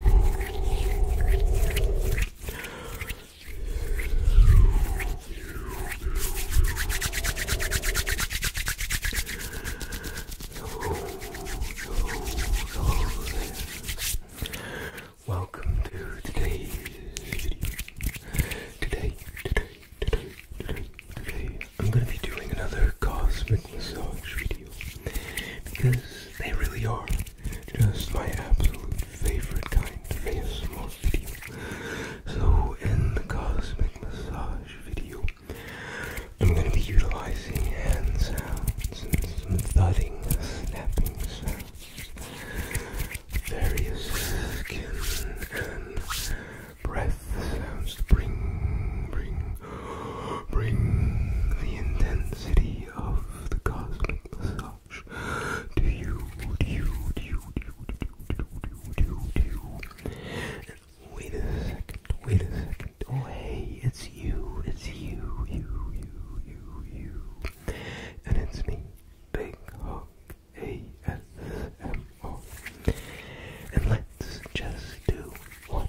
Welcome to today's video. Today, today, today, today, today, I'm going to be doing another cosmic massage video because they really are just my absolute favorite kind of ASMR video. So in the cosmic massage video, I'm gonna be utilizing hands, sounds and some thudding, snapping sounds, various skin and breath sounds to bring, bring, bring the intensity idea of the cosmic massage? Do you, do you, do you, do you, do you, do you, do you, do you? And wait a second, wait a second. Oh, hey, it's you, it's you, you, you, you, you. And it's me, Big Hog ASMR. And let's just do one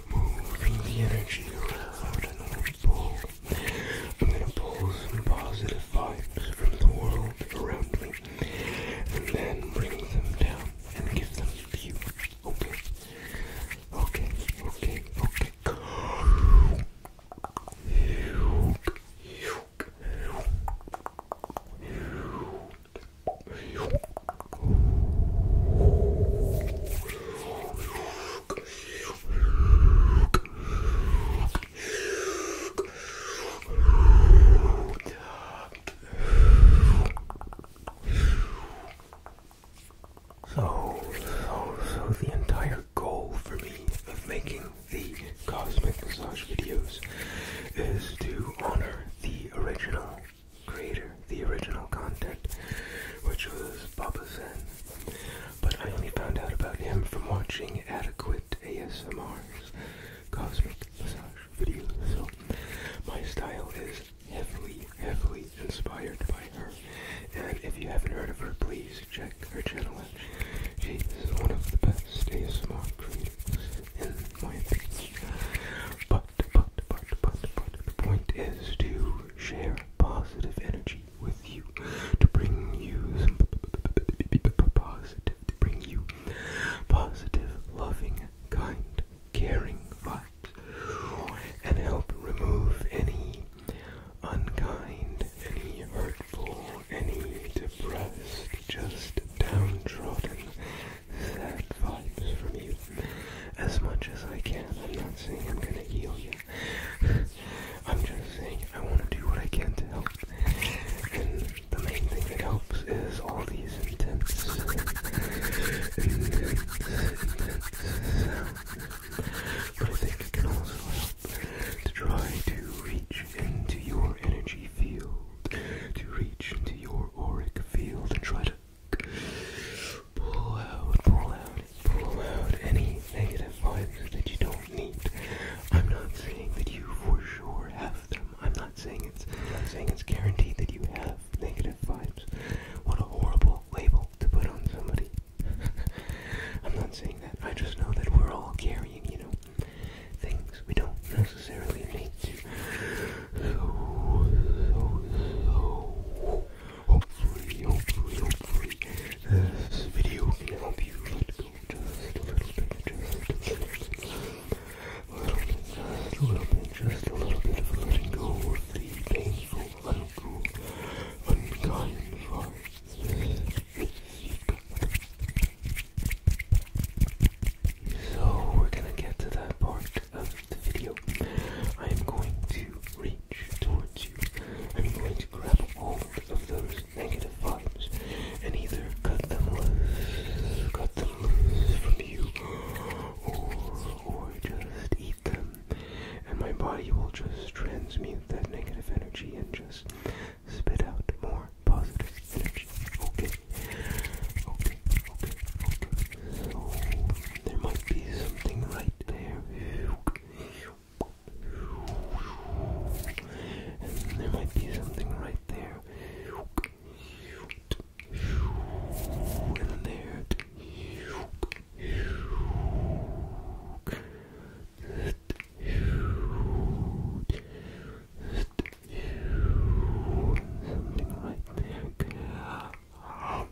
moving the energy around I'm gonna pull. I'm gonna pull some positive vibes from the world around me and then bring them down and give them to you. Okay. Okay, okay, okay. So, so, so the entire goal for me of making the cosmic massage videos is to honor the original creator, the original content, which was Baba Zen. But I only found out about him from watching adequate ASMR's cosmic massage video. So my style is heavily, heavily inspired by her. And if you haven't heard of her, please check her channel out. She is one of the best ASMR creators in my opinion the point is to share positive energy with you, to bring you positive, to bring you positive, loving, kind, caring vibes, and help remove any unkind, any hurtful, any depressed, just downtrodden sad vibes from you as much as I can. I'm not saying I'm gonna heal you. I'm just saying I want to do what I can to help. And the main thing that helps is all these intense, intense, intense sounds. But I think it can also help to try to reach into your energy field, to reach into your auric field and try to Pull out, pull out, pull out any negative vibes that you don't need. I'm not saying that you for sure have them. I'm not saying it's not saying it's guaranteed that you have negative vibes. What a horrible label to put on somebody. I'm not saying that. I just know that we're all carrying, you know, things we don't necessarily need to so, so, so hopefully, hopefully, hopefully this video can help you a little bit, just a little bit, just a little bit, just a little bit of letting go of the painful, uncool, unkind vibes. So we're gonna get to that part the video, I am going to reach towards you. I'm going to grab all of those negative vibes and either cut them loose, cut them loose from you, or just eat them. And my body will just transmute that negative energy and just spit out more positive energy. Okay. Okay there might be something right there. there might be something right there. And there. Something right there.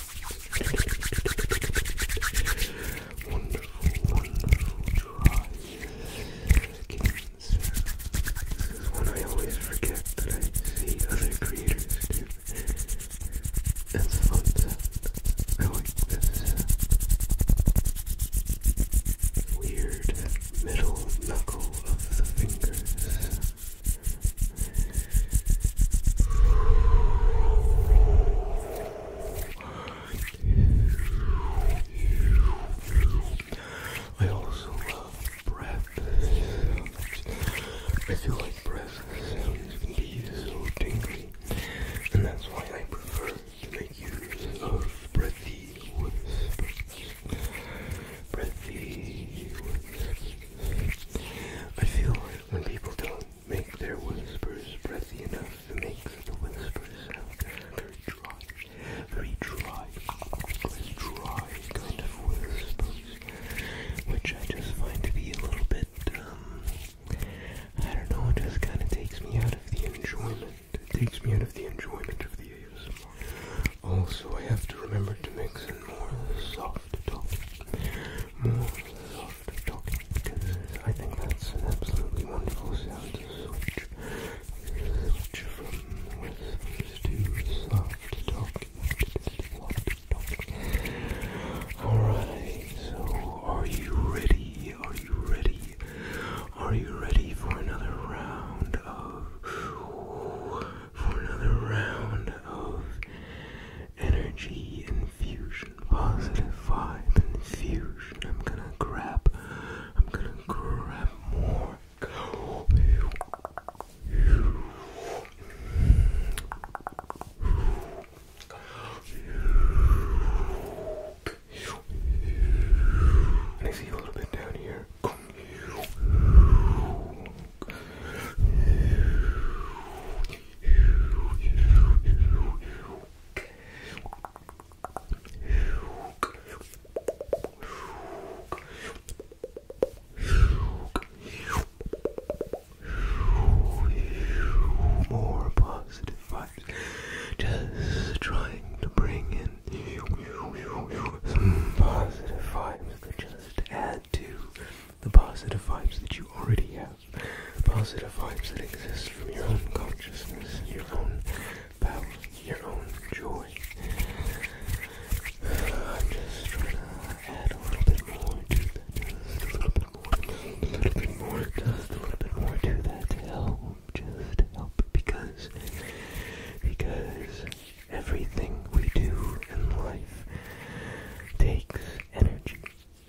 Wonderful, wonderful dry skins. One I always forget that I see other creators do. That's a I like this Weird middle knuckle of the fingers. I also love breath I feel like breath sounds can be so tingly, and that's why I prefer to make use of breathy whispers. Breathy whispers. I feel like when people don't make their whispers breathy enough, it makes the whispers sound very dry, very dry, very dry kind of whispers, which I just find to be a little bit, um, I don't know, it just kind of takes me out of the enjoyment. It takes me out of the enjoyment of the ASMR. Also, I have to remember to mix in more soft talking. More soft talking because I think that's an absolutely wonderful sound to switch. Switch from whispers to soft talking. Soft talking. Alright, so are you ready? Are you ready? Are you ready for another round of for another round of energy infusion, positive vibe infusion. I'm gonna grab, I'm gonna grab more. Go. And I see a little bit down here. More positive vibes. Just trying to bring in some positive vibes just add to the positive vibes that you already have, the positive vibes that exist from your own consciousness, your own power, your own joy. I'm just trying to add a little bit more to that, a little bit more, a little bit more, just a little bit more to that help, just help, because, because everything we do in life takes energy.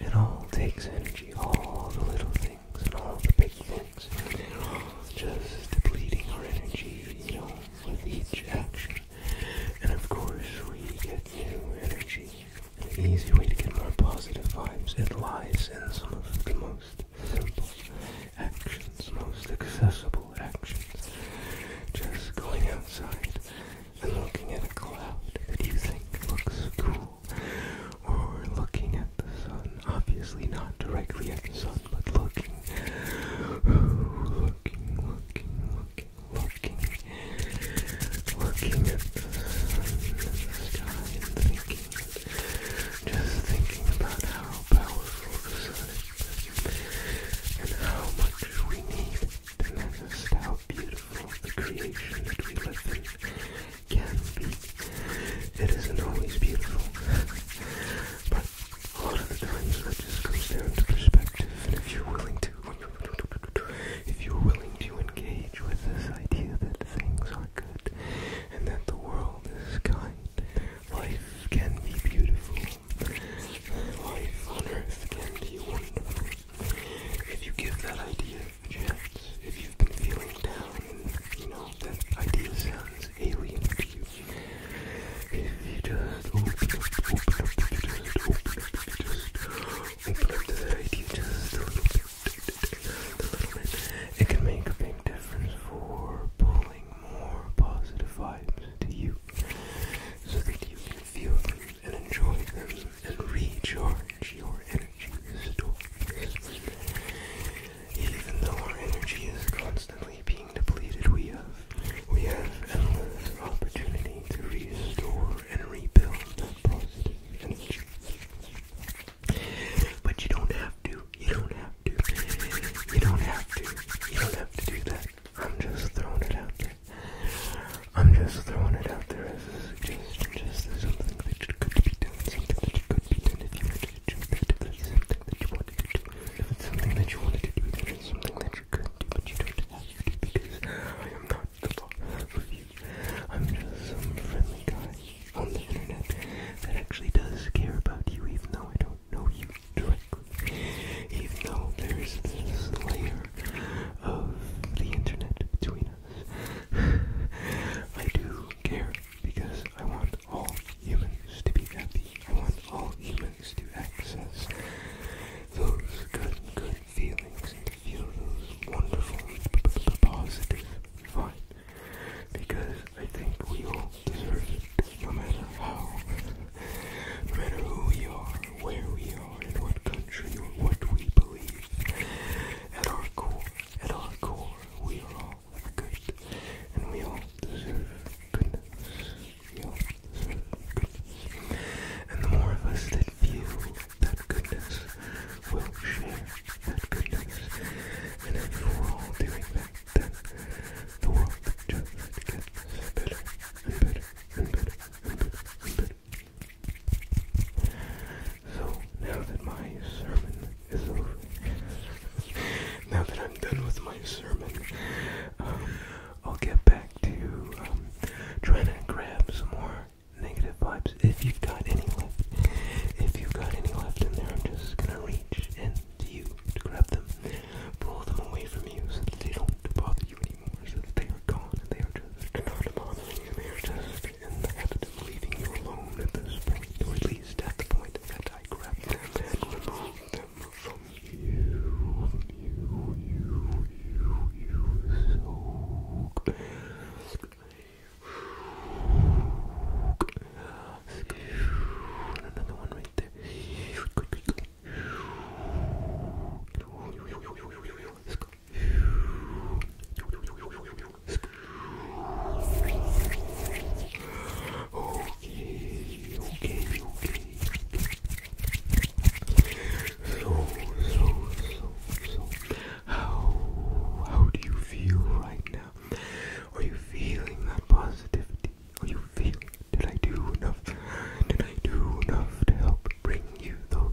It all takes energy. All the little things and all the big things. all Just depleting our energy, you know, with each action. And of course, we get new energy. An easy way to get more positive vibes. It lies in some of the most simple actions, most accessible actions. Just going outside and looking at a cloud that you think looks cool, or looking at the sun, obviously not directly at the sun, but looking, looking, looking, looking, looking, at the sun and the sky and thinking, just thinking about how powerful the sun is and how much we need to manifest how beautiful the creation that we live in can be. It isn't always beautiful, but a lot of the times that just goes down to perspective, and if you're willing to, if you're willing to engage with this idea that things are good and that the world is kind, life can be beautiful, life on earth can be wonderful, if you give that idea a chance, if you've been feeling down and you know that idea sounds alien to you, if you just open up, open up, just open up, just open up to that idea just a little bit, a little bit, it can make a big difference for pulling more positive vibes to you so that you can feel and enjoy and recharge your energy stores. Even though our energy is constantly being depleted, we have we have endless opportunity to restore and rebuild that positive energy. But you don't have to. You don't have to. You don't have to. You don't have to do that. I'm just throwing it out there. I'm just throwing it out there as a suggestion. Just as something that you could be doing, something that you could be doing if you wanted to do that. If that's something that you wanted to do, if it's something that you wanted to do, then it's something that you could do, but you don't have to do because I am not the boss for you. I'm just some friendly guy on the internet that actually does care about you, even though I don't know you directly. Even though there's this layer of the internet between us. I do care because I want all humans to be happy. I want all humans to access those good, good feelings and feel those wonderful, positive vibes. Because I think we all deserve it, no matter how, no matter who we are, where we are, in what country, or what we believe. At our core, at our core, we are all good, and we all deserve goodness. We all deserve goodness. And the more of us that feel that goodness will share that goodness. And if we're all doing that, then the world just gets better and better and better and better and better and better. So now that my sermon is over, now that I'm done with my sermon, um, I'll get back to um, trying to grab some more negative vibes. If you've got any left, if you've got any left in there, I'm just gonna reach into you to grab them, pull them away from you so that they don't bother you anymore, they are gone and they are just not bothering you, they are just in the habit of leaving you alone at this point, or at least at the point that I grab them and remove them from you, you, you, you, you, so good. Another one right there. Let's go. Okay, okay, okay. So, so, so, so, how, how do you feel right now? Are you feeling that positivity? Are you feeling? Did I do enough? Did I do enough to help bring you those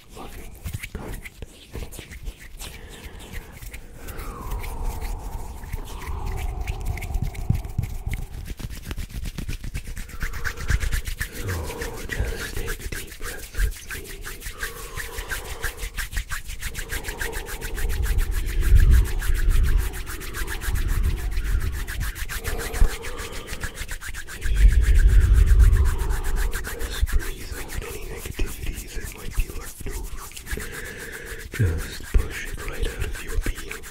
loving, kind energy. So just take a deep breath with me. Just breathe out anything just push it right out of your being.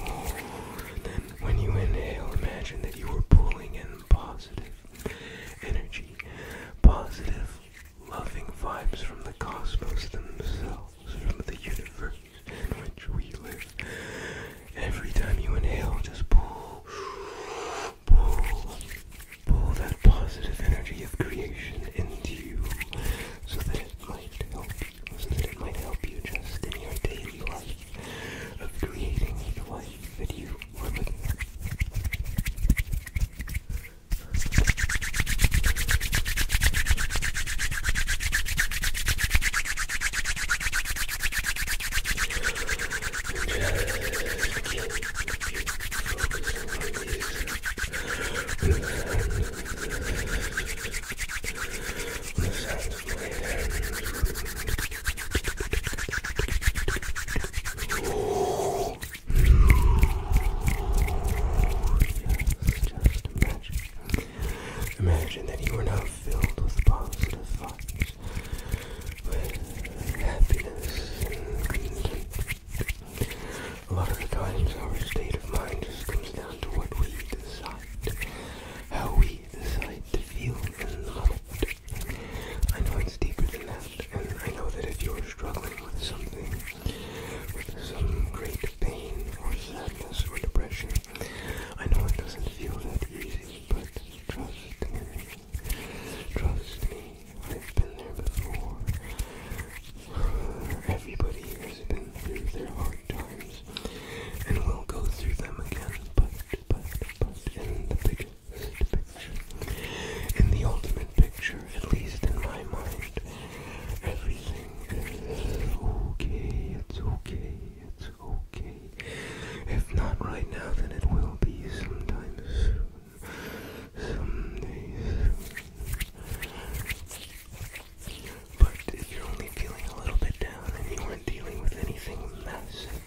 and then when you inhale, imagine that you are pulling in positive energy, positive, loving vibes from the cosmos themselves, from the universe in which we live. Every time you inhale, just pull, pull, pull that positive energy of creation into you so that it might help you, so that it might help you just in your daily life of creating the life that you are Imagine that you are now filled with positive thoughts with happiness A lot of the times our state of mind just comes down to what we decide, how we decide to feel in the I know it's deeper than that, and I know that if you're struggling with something, with some great pain or sadness or depression, I know it doesn't feel that easy, but Trust me. Trust me. I've been there before. Everybody here has been through their hard times and we will go through them again. But, but, but, in the picture, in the ultimate picture, at least in my mind, everything is okay. It's okay. It's okay okay. If not right now, then it will be sometime soon. Someday But if you're only feeling a little bit down and you aren't dealing with anything massive,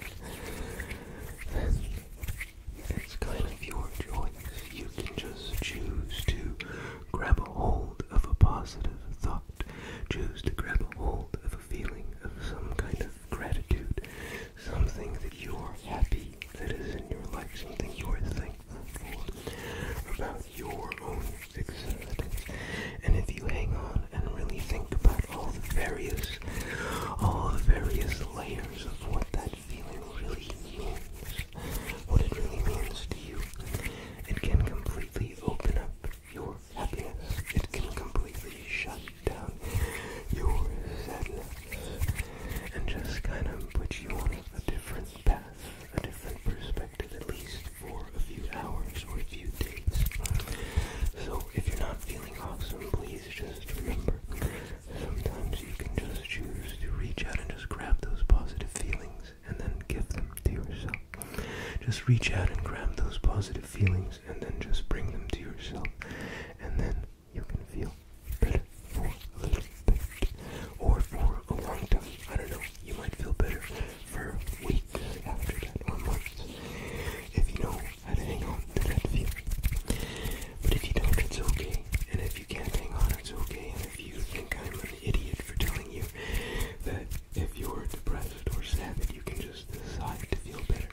then it's kind of your choice. You can just choose to grab a hold of a positive thought, choose to grab a hold of a feeling of some kind of gratitude, something that you are happy that is in your life, something you are thankful about your own existence. And if you hang on and really think about all the various, all the various layers of what that feeling really means, what it really means to you, it can completely open up your happiness, it can completely shut down your sadness and just kind of put you on a different path, a different perspective, at least for a few hours or a few days. So if you're not feeling awesome, please just remember, sometimes you can just choose to reach out and just grab those positive feelings and then give them to yourself. Just reach out and grab those positive feelings and then just bring them to yourself, and then you can feel better for a little bit or for a long time. I don't know, you might feel better for weeks after that or months if you know how to hang on to that feeling. But if you don't, it's okay, and if you can't hang on, it's okay, and if you think I'm an idiot for telling you that if you're depressed or sad, that you can just decide to feel better,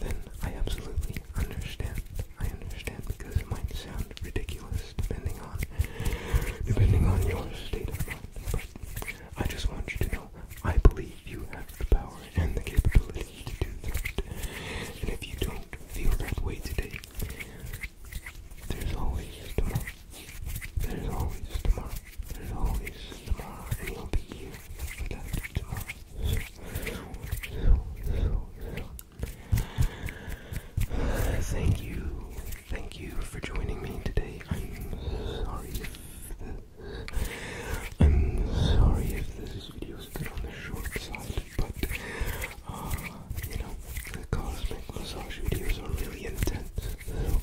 then I absolutely understand. I understand because it might sound ridiculous depending on depending on your state of mind. I just want you to know I believe you have the power and the capability to do that. And if you don't feel that way today, there's always tomorrow. There's always tomorrow. There's always tomorrow. And you'll be here for that tomorrow. Thank you. Thank you for joining me today. I'm sorry if I'm sorry if this video is a bit on the short side, but uh, you know, the cosmic massage videos are really intense. So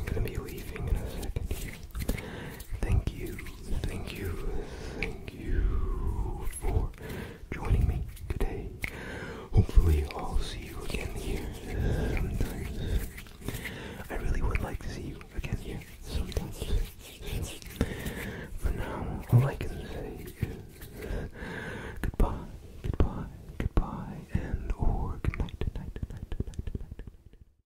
I'm gonna be leaving in a second Thank you, thank you, thank you for joining me today. Hopefully, I'll see you again here sometime. I really would like to see you again here sometime. For now, all I can say is goodbye, goodbye, goodbye, and or good night, night, night, night, night.